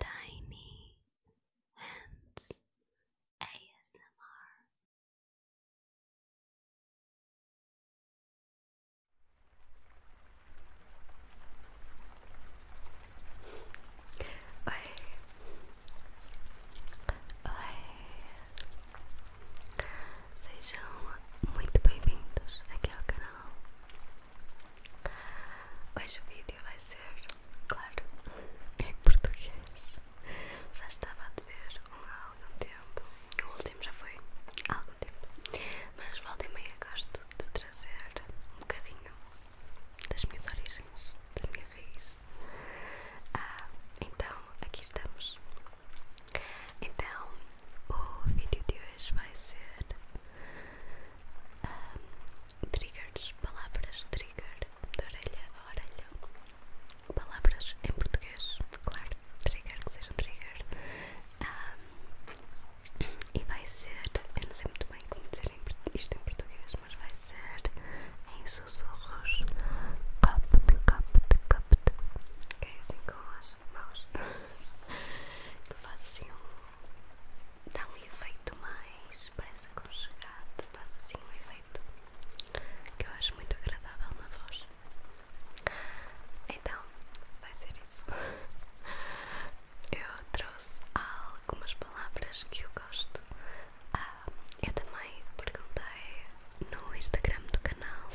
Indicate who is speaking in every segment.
Speaker 1: Tiny Hands ASMR. Sejam muito bem-vindos aqui ao canal. Hoje o vídeo vai ser, claro, em português. Já estava a dever um há algum tempo. O último já foi há algum tempo. Mas volta e meia gosto de trazer um bocadinho das minhas origens, da minha raiz. Ah, então, aqui estamos. Então, o vídeo de hoje vai ser triggers, palavras trigger de orelha a orelha, palavras em português, claro, trigger que seja trigger, e vai ser, eu não sei muito bem como dizer isto em português, mas vai ser em sussurros, copo de copo de copo é assim com as mãos, que faz assim Dá um efeito mais relaxe, parece aconchegado, passa assim um efeito que eu acho muito agradável na voz. Então, vai ser isso. Eu trouxe algumas palavras que eu gosto. Ah, eu também perguntei no Instagram do canal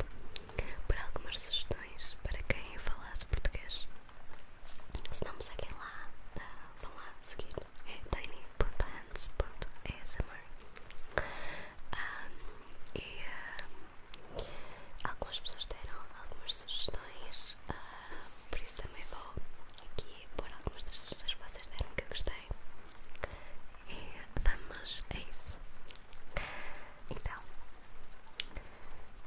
Speaker 1: por algumas sugestões para quem falasse português. Se não me seguem lá, ah, seguir é tiny.hands.asmr um, e ah, algumas pessoas deram algumas sugestões, ah, por isso também vou aqui pôr algumas das sugestões que vocês deram que eu gostei. E vamos a isso. Então,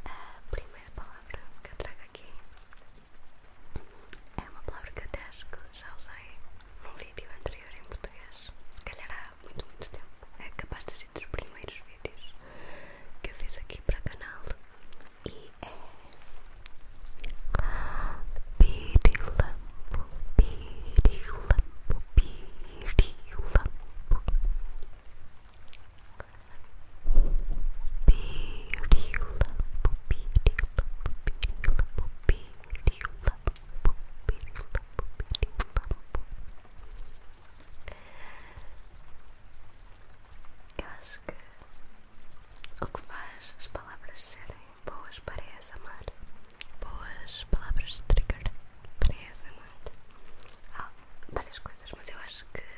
Speaker 1: a primeira palavra que eu trago aqui é uma palavra que até acho que já usei num vídeo anterior em português, se calhar há muito, muito tempo. É capaz de ser dos primeiros vídeos que eu fiz aqui para o canal. E é. Pirilampo, pirilampo, pirilampo. Pupirila, pupirila, pupirila, pupirila, pupirila, pupirila. Eu acho que o que faz as palavras serem boas para essa é amar, boas palavras de trigger para essa é amar, há várias coisas, mas eu acho que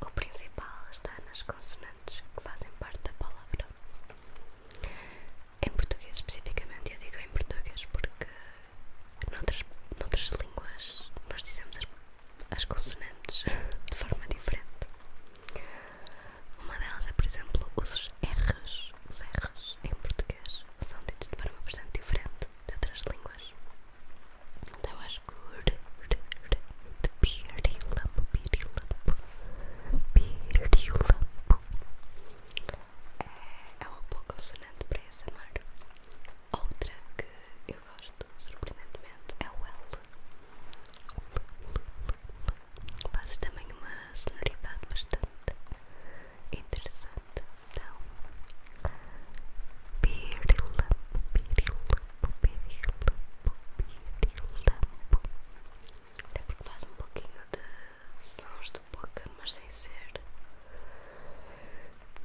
Speaker 1: o principal está nas consonantes que fazem parte da palavra. Em português, especificamente, eu digo em português porque noutras, noutras línguas nós dizemos as, as consonantes de forma diferente. Uma delas é, por exemplo, os R's. Os R's em português são ditos de forma bastante diferente de outras línguas. That was good. The beardy lump, beardy lump, É, é uma boa consonante para essa mar. Outra que eu gosto surpreendentemente é o L. Faz também uma sonoridade bastante interessante. Então, beardy lump, até porque faz um pouquinho de sons de boca, mas sem ser.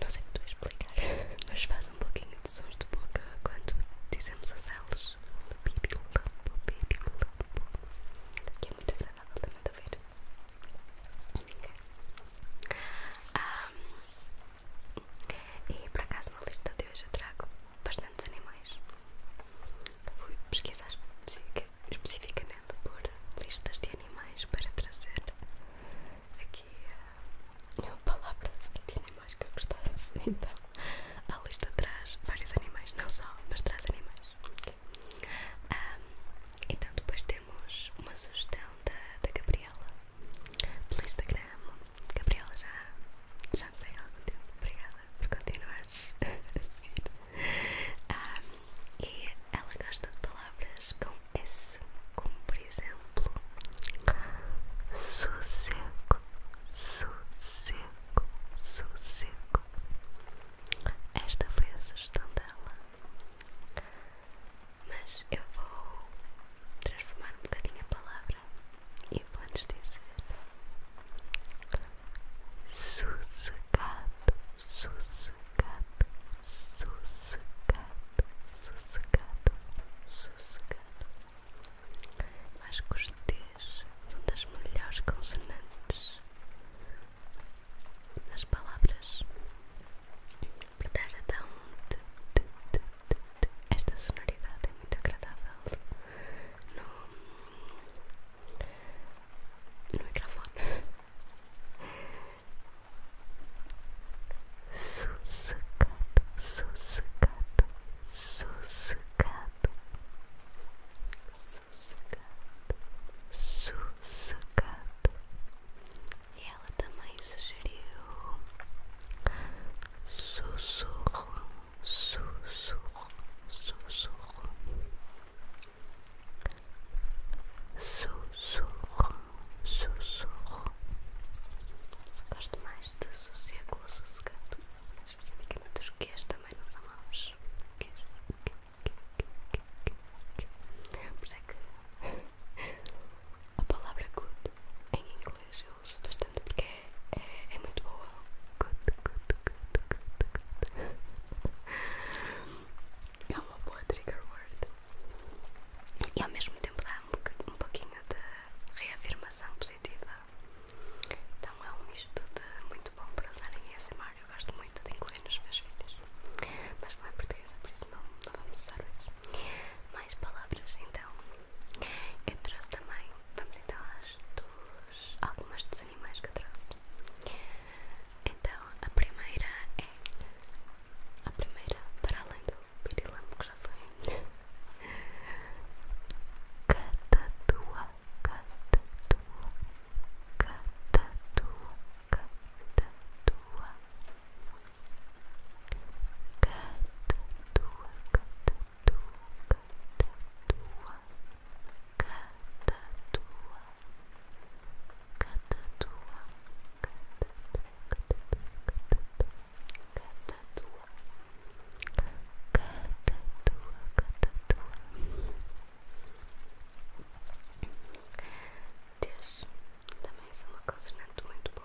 Speaker 1: Não sei como explicar, mas faz um pouquinho de sons de boca quando dizemos as elas. Que é muito agradável também de ouvir. Um, e por acaso na lista de hoje eu trago bastantes animais. Fui pesquisar especificamente por listas de animais para trazer aqui eh, palavras de animais que eu gostasse. Então, a lista traz vários animais, não só, mas traz animais. então, depois temos uma sugestão da, da Gabriela pelo Instagram Gabriela, já, já me segue há algum tempo. Obrigada por continuares a seguir. Ah, e ela gosta de palavras com S, como por exemplo sossego, sossego, sossego. Esta foi a sugestão dela. Mas eu vou transformar um bocadinho a palavra e vamos dizer sossegado, sossegado, sossegado, sossegado, sossegado. Acho que os T's são das melhores consonantes nas palavras. Apertar a um t, t, t, esta sonoridade é muito agradável no, microfone. Sossegado, sossegado, sossegado, sossegado, sossegado. E ela também sugeriu sussurro sussurro, sussurro, sussurro, sussurro. Gosto mais de sossego ou sossegado, especificamente os quês também não são maus. Quês, por isso é que a palavra good em inglês eu uso bastante porque é, é muito boa. É uma boa trigger word e ao mesmo tempo dá um, pouquinho de reafirmação positiva. Então é um misto muito bom para usar em ASMR. Eu gosto muito de incluir nos meus vídeos, mas não é portuguesa, por isso não, vamos usar isso. Mais palavras então. Eu trouxe também vamos então às dos, algumas dos animais que eu trouxe. Então, a primeira é. A primeira, para além do pirilampo que já foi. Catatua, catatua, catatua, catatua. Catatua, catatua, tua Catatua, catatua, catatua, catatua, catatua, catatua. Deus, também são uma consonante muito boa.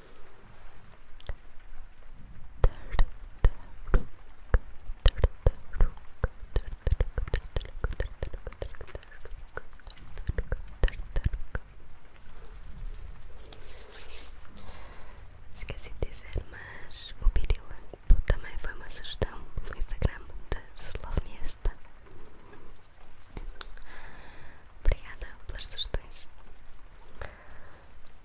Speaker 1: Esqueci de dizer, mas o Pirilampo também foi uma sugestão no Instagram da Slovniesta. Obrigada pelas sugestões.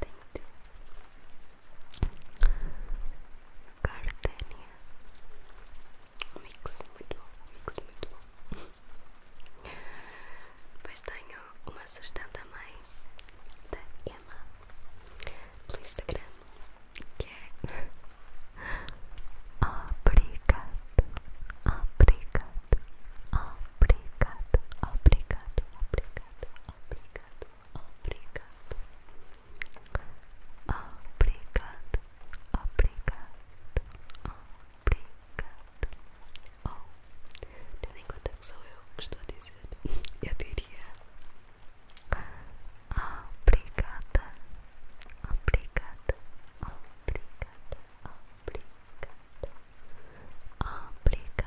Speaker 1: tenho Entendeu? Gardenia. Mix muito bom, mix muito bom. Depois tenho uma sugestão mãe, da Emma pelo Instagram que é obrigado, obrigado, obrigado, obrigado, obrigado, obrigado, obrigado, obrigado, obrigado, obrigado. Oh, tendo em conta que sou eu que estou a dizer, eu diria obrigada, obrigada, obrigada, obrigada, obrigada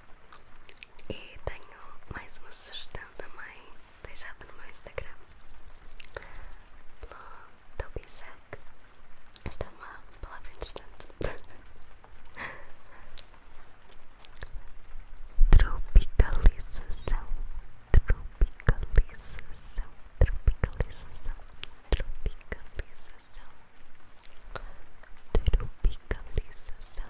Speaker 1: E tenho mais uma sugestão também deixada no meu Instagram pelo Esta é uma palavra interessante. Tropicalização, tropicalização, tropicalização, tropicalização, tropicalização,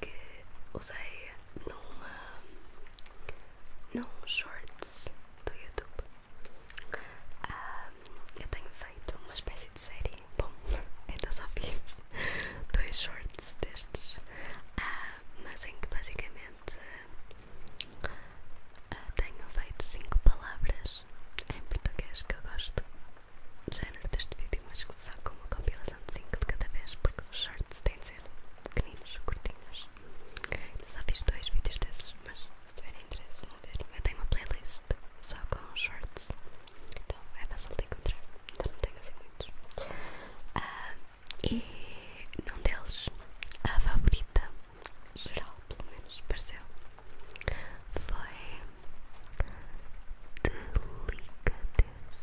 Speaker 1: que usei num shorts do YouTube. Ah, eu tenho feito uma espécie de série. Bom, então só fiz dois shorts destes, ah, mas em que basicamente ah, tenho feito cinco palavras em português que eu gosto. Género deste vídeo ótimo a com uma compilação de 5 de cada vez, porque os shorts têm de ser pequeninos, curtinhos. Eu só fiz dois vídeos desses, mas se tiverem interesse vão ver. Eu tenho uma playlist só com shorts, então é fácil de encontrar. Então não tenho assim muitos. Ah, e num deles, a favorita, geral pelo menos, pareceu, foi. Delicadeza.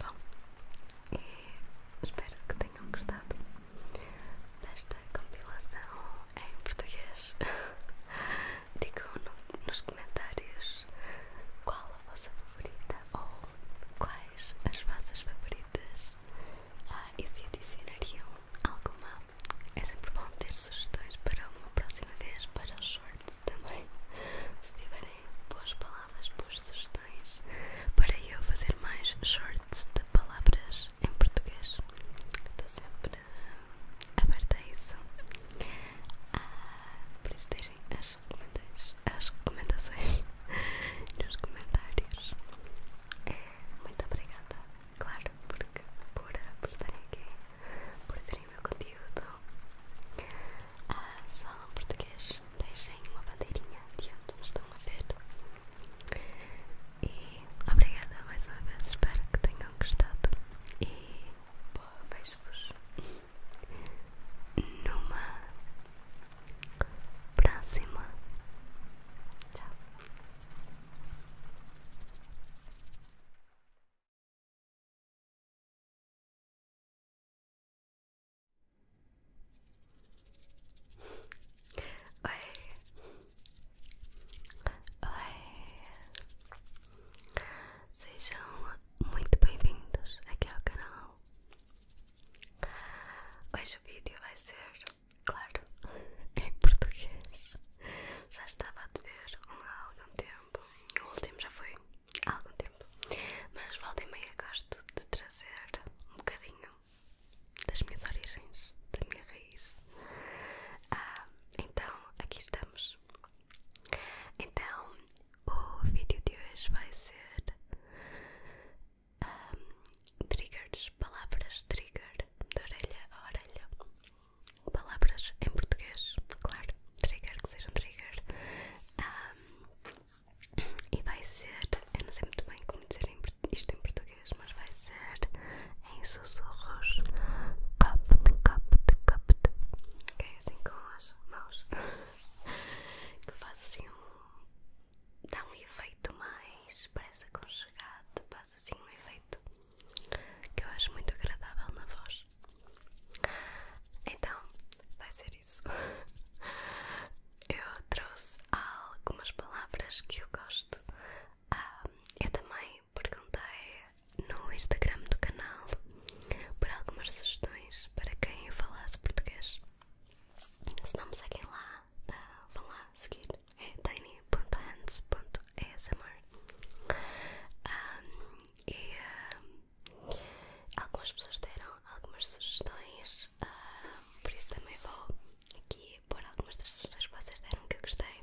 Speaker 1: Bom, espero que tenham gostado desta compilação em português. digam nos comentários qual a vossa favorita ou quais as vossas favoritas ah, e se adicionariam alguma. É sempre bom ter sugestões para uma próxima vez, para os shorts também. Se tiverem boas palavras, boas sugestões para eu fazer mais shorts de palavras em português, estou sempre aberta a isso. Ah, por isso, as, recomendações nos comentários. É, muito obrigada, claro, porque, por, eh, por estarem aqui, por verem o meu conteúdo. Ah, só em português, deixem uma bandeirinha de onde me estão a ver. E obrigada mais uma vez, espero que tenham gostado. E boa, beijo-vos numa próxima. Tchau. Oi. Oi. Sejam muito bem-vindos aqui ao canal. Hoje o vídeo vai ser, claro, em português. Já estava a te ver há algum tempo, o último já foi há algum tempo, mas volta e meia gosto de trazer um bocadinho das minhas origens, da minha raiz. Ah, então, aqui estamos. Então, o vídeo de hoje vai ser triggers, palavras trigger de orelha a orelha. Palavras em português, claro, trigger, que sejam trigger. e vai ser, eu não sei muito bem como dizer isto em português, mas vai ser em sussurros. Capte, capte, capte. Ok, assim com as mãos. que faz assim um. dá um efeito mais. parece aconchegado, faz assim um efeito que eu acho muito agradável na voz. Então, vai ser isso. Eu trouxe algumas palavras que eu gosto. Ah, eu também perguntei no Instagram do canal por algumas sugestões para quem falasse português. Se não me seguem lá, eh, vão lá seguir. É tiny.hands.asmr. e eh, algumas pessoas deram algumas sugestões, ah, por isso também vou aqui pôr algumas das sugestões que vocês deram que eu gostei.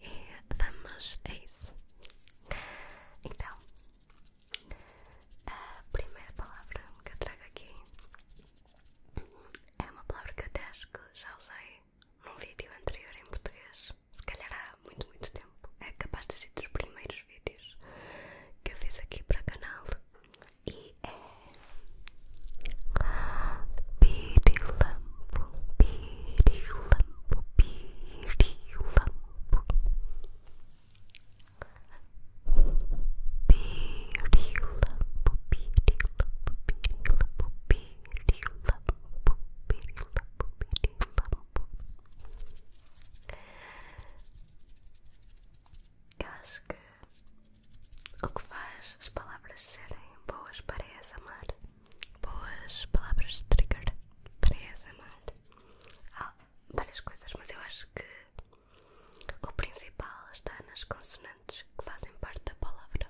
Speaker 1: E vamos a isso. Então, a primeira palavra que eu trago aqui é uma palavra que eu até acho que já usei num vídeo anterior em português, se calhar há muito, muito tempo. É capaz de ser dos primeiros vídeos que eu fiz aqui para o canal e é pirilampo, pirilampo, pirilampo. Pupirila, pupirila, pupirila, pupirila, pupirila, pupirila. Eu acho que o que faz as palavras serem boas para essa mar, boas palavras trigger para essa mar, Há várias coisas, mas eu acho que o principal está nas consonantes que fazem parte da palavra.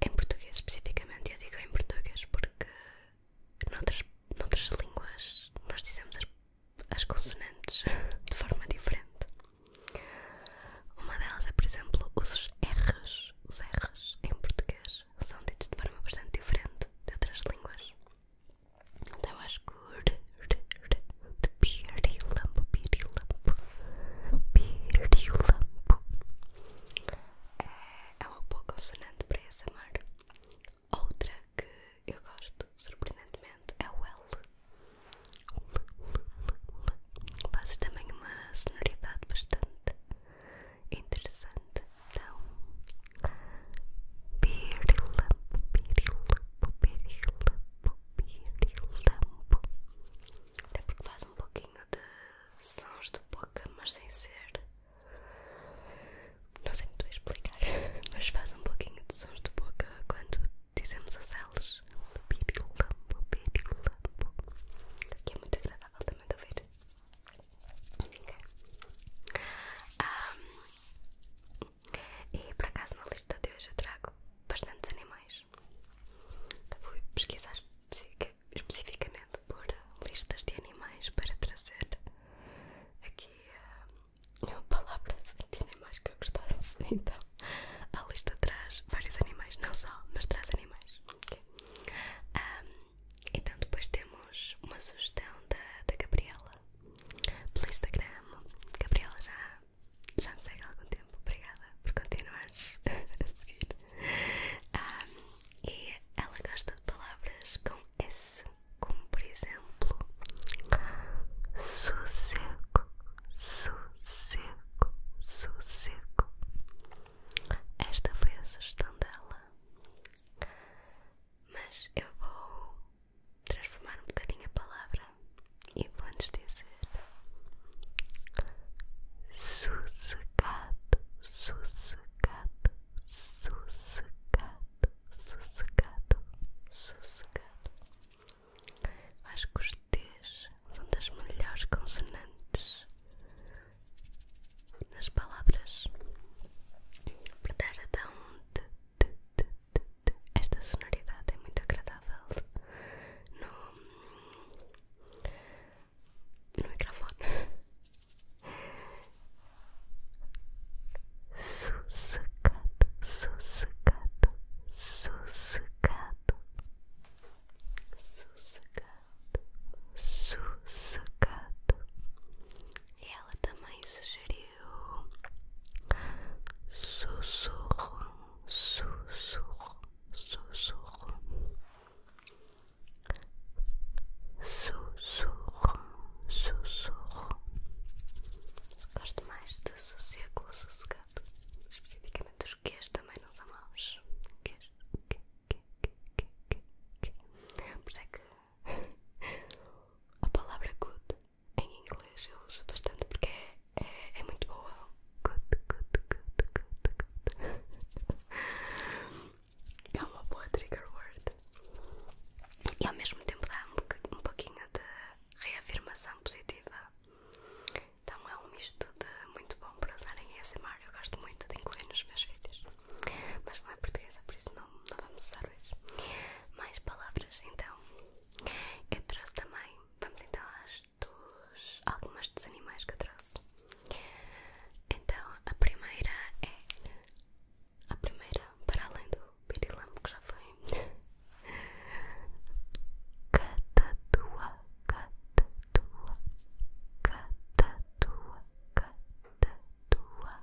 Speaker 1: Em português, especificamente, eu digo em português porque noutras, noutras línguas nós dizemos as, as consonantes de forma diferente. Uma delas é, por exemplo, os R's. Os R's em português são ditos de forma bastante diferente de outras línguas. Então eu acho que de pirilampo, pirilampo, pirilampo eh, é uma boa consonante para essa mar. Outra que eu gosto surpreendentemente é o L. L, L, L, L. Faz também uma sonoridade bastante interessante. Então, pirilampo, pirilampo, pirilampo, pirilampo. Até porque faz um pouquinho de sons de boca, mas sem ser. Não sei muito explicar, mas faz um pouquinho de sons de boca quando dizemos as L's. Pirilampo, pirilampo. Que é muito agradável também de ouvir. Um, e por acaso na lista de hoje eu trago bastantes animais. Fui pesquisar especificamente por listas de animais para trazer aqui uh, palavra de animais que eu gostasse. Então a lista traz vários animais, não só, mas traz animais. Okay. Então depois temos uma sugestão da, da Gabriela pelo Instagram. Gabriela já, já me segue há algum tempo, obrigada por continuares a seguir. Ah, e ela gosta de palavras com S, como por exemplo sossego, sossego, sossego. Esta foi a sugestão dela. Mas eu vou transformar um bocadinho a palavra e vou antes dizer sossegado, sossegado, sossegado, sossegado, sossegado. Acho que os T's são das melhores consonantes nas palavras por dar a dar um esta sonoridade é muito agradável no, no microfone sossegado, sossegado, sossegado sossegado, sossegado ela também sugeriu sussurro, sussurro, sussurro, sussurro, sussurro. Gosto mais de sossego ou sossegado, especificamente os quês também não são maus. Quês, que, que, que, que, que. Por isso é que a palavra good em inglês eu uso bastante porque é, é, é muito boa. Good, good, good, good, good. É uma boa trigger word. E ao mesmo tempo dá um, pouquinho de reafirmação positiva. Então é um misto de muito bom para usar em ASMR. Eu gosto muito de incluir nos meus vídeos mas não é portuguesa, por isso não, vamos usar hoje. Mais palavras então. Eu trouxe também, vamos então às dos, algumas dos animais que eu trouxe. Então a primeira é a primeira, para além do pirilampo que já foi. Catatua, catatua, catatua, catatua,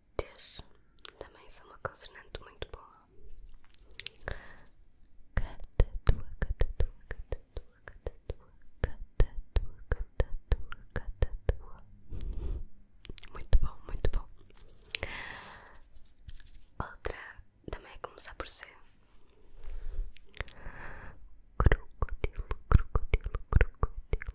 Speaker 1: também é uma consonante muito boa. Catatua, catatua, catatua, catatua, catatua, catatua, catatua. Muito bom, muito bom. Outra também é começar por ser crocodilo, crocodilo, crocodilo,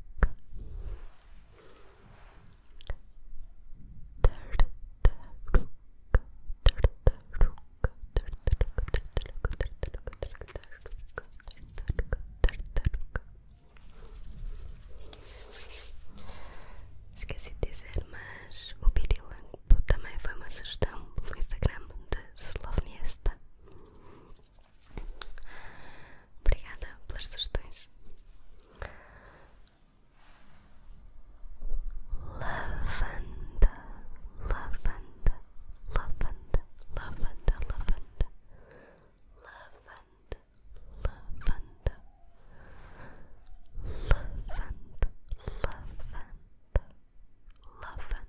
Speaker 1: boca. Tartaruga, tartaruga, tartaruga, tartaruga, tartaruga, tartaruga, tartaruga. Esqueci de dizer, mas o Pirilampo também foi uma sugestão pelo Instagram de Slovniesta Obrigada pelas sugestões. Lavanda, lavanda, lavanda, lavanda, lavanda, lavanda, lavanda, lavanda, lavanda, lavanda, lavanda.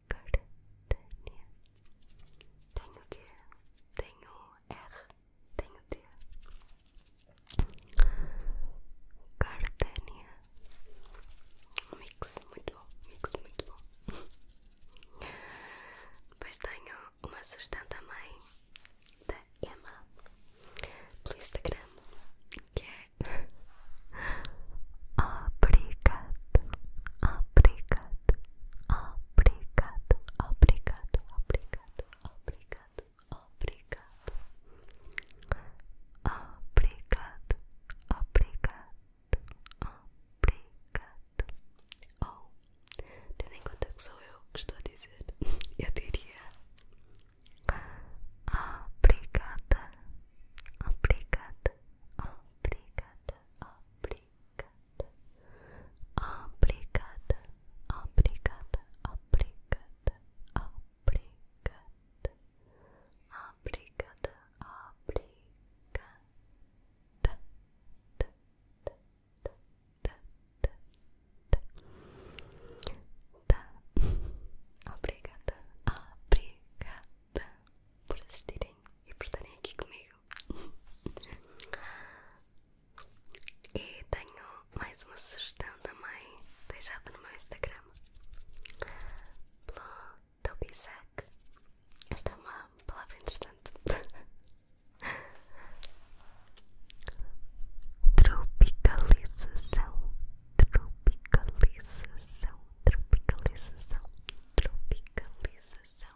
Speaker 1: Cardânia. Tenho Q, tenho R, tenho T. Cardânia. Mix, muito bom. Mix, muito bom. Depois tenho uma sustenta mãe da Emma pelo Instagram que é obrigado, obrigado, obrigado, obrigado, obrigado, obrigado, obrigado, obrigado, obrigado, obrigado. obrigado tendo em conta que sou eu que estou a dizer, eu diria obrigada, obrigada, obrigada, obrigada obrigada, obrigada, obrigada, obrigada, obrigada, obrigada. Tá. Obrigada, obrigada por assistirem e por estarem aqui comigo. e tenho mais uma sugestão da mãe deixada no meu Instagram pelo Tobisac. Esta é uma palavra interessante. Tropicalização, tropicalização, tropicalização, tropicalização,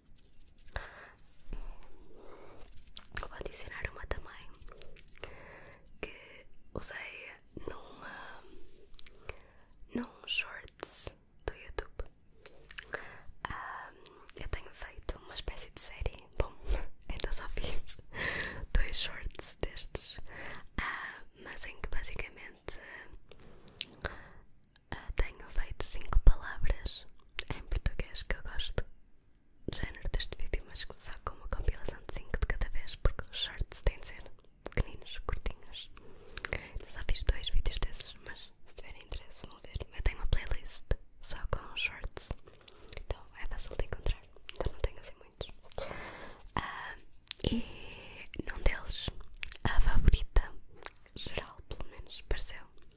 Speaker 1: Vou adicionar uma também que usei num shorts do YouTube. Ah, eu tenho feito uma espécie de série. Bom, então só fiz dois shorts destes, ah, mas em que basicamente ah, tenho feito cinco palavras em português que eu gosto género deste vídeo, mas começar com uma compilação de 5 de cada vez, porque os shorts têm de ser pequeninos, curtinhos. Eu só fiz dois vídeos desses, mas se tiverem interesse vão ver. Eu tenho uma playlist só com shorts, então é fácil de encontrar. Então não tenho assim muitos. Ah, e num deles, a favorita, geral pelo menos, pareceu,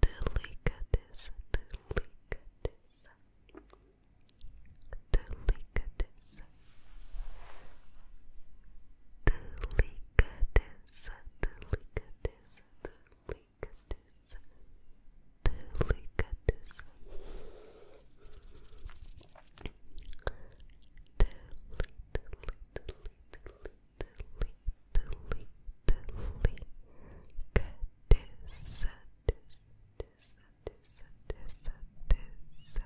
Speaker 1: delicadeza, delicadeza, delicadeza, delicadeza, delicadeza, delicadeza, delicadeza. Deli, deli, deli, deli, totally, totally got this, this, this, this, this, this,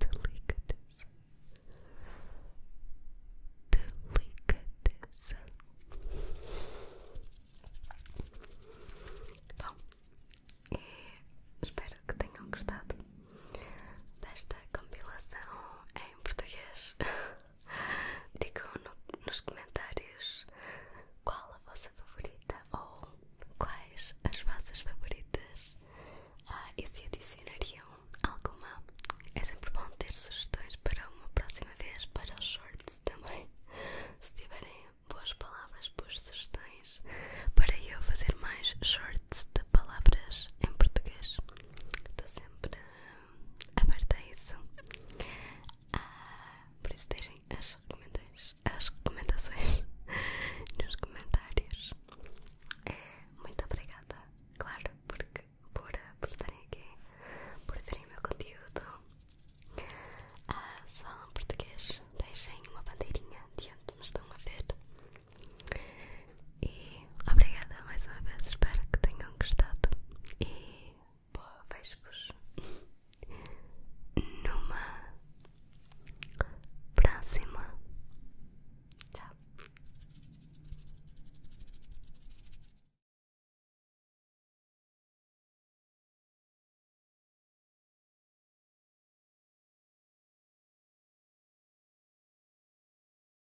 Speaker 1: delicatessen, delicatessen. Bom, e espero que tenham gostado desta compilação em português. Digam nos comentários qual a vossa favorita ou quais as vossas favoritas ah, e se adicionariam alguma. É sempre bom ter sugestões para uma próxima vez para os shorts também. Se tiverem boas palavras, boas sugestões para eu fazer mais shorts de palavras em português. Estou sempre aberta a isso. Ah, por isso deixem as recomendações, as recomendações nos comentários. É, muito obrigada, claro, porque, por, ah, por estarem aqui, por verem o meu conteúdo. Ah, se falam português, deixem uma bandeirinha de onde me estão a ver. E obrigada mais uma vez, espero que tenham gostado. E boa, vejo-vos numa próxima. Tchau.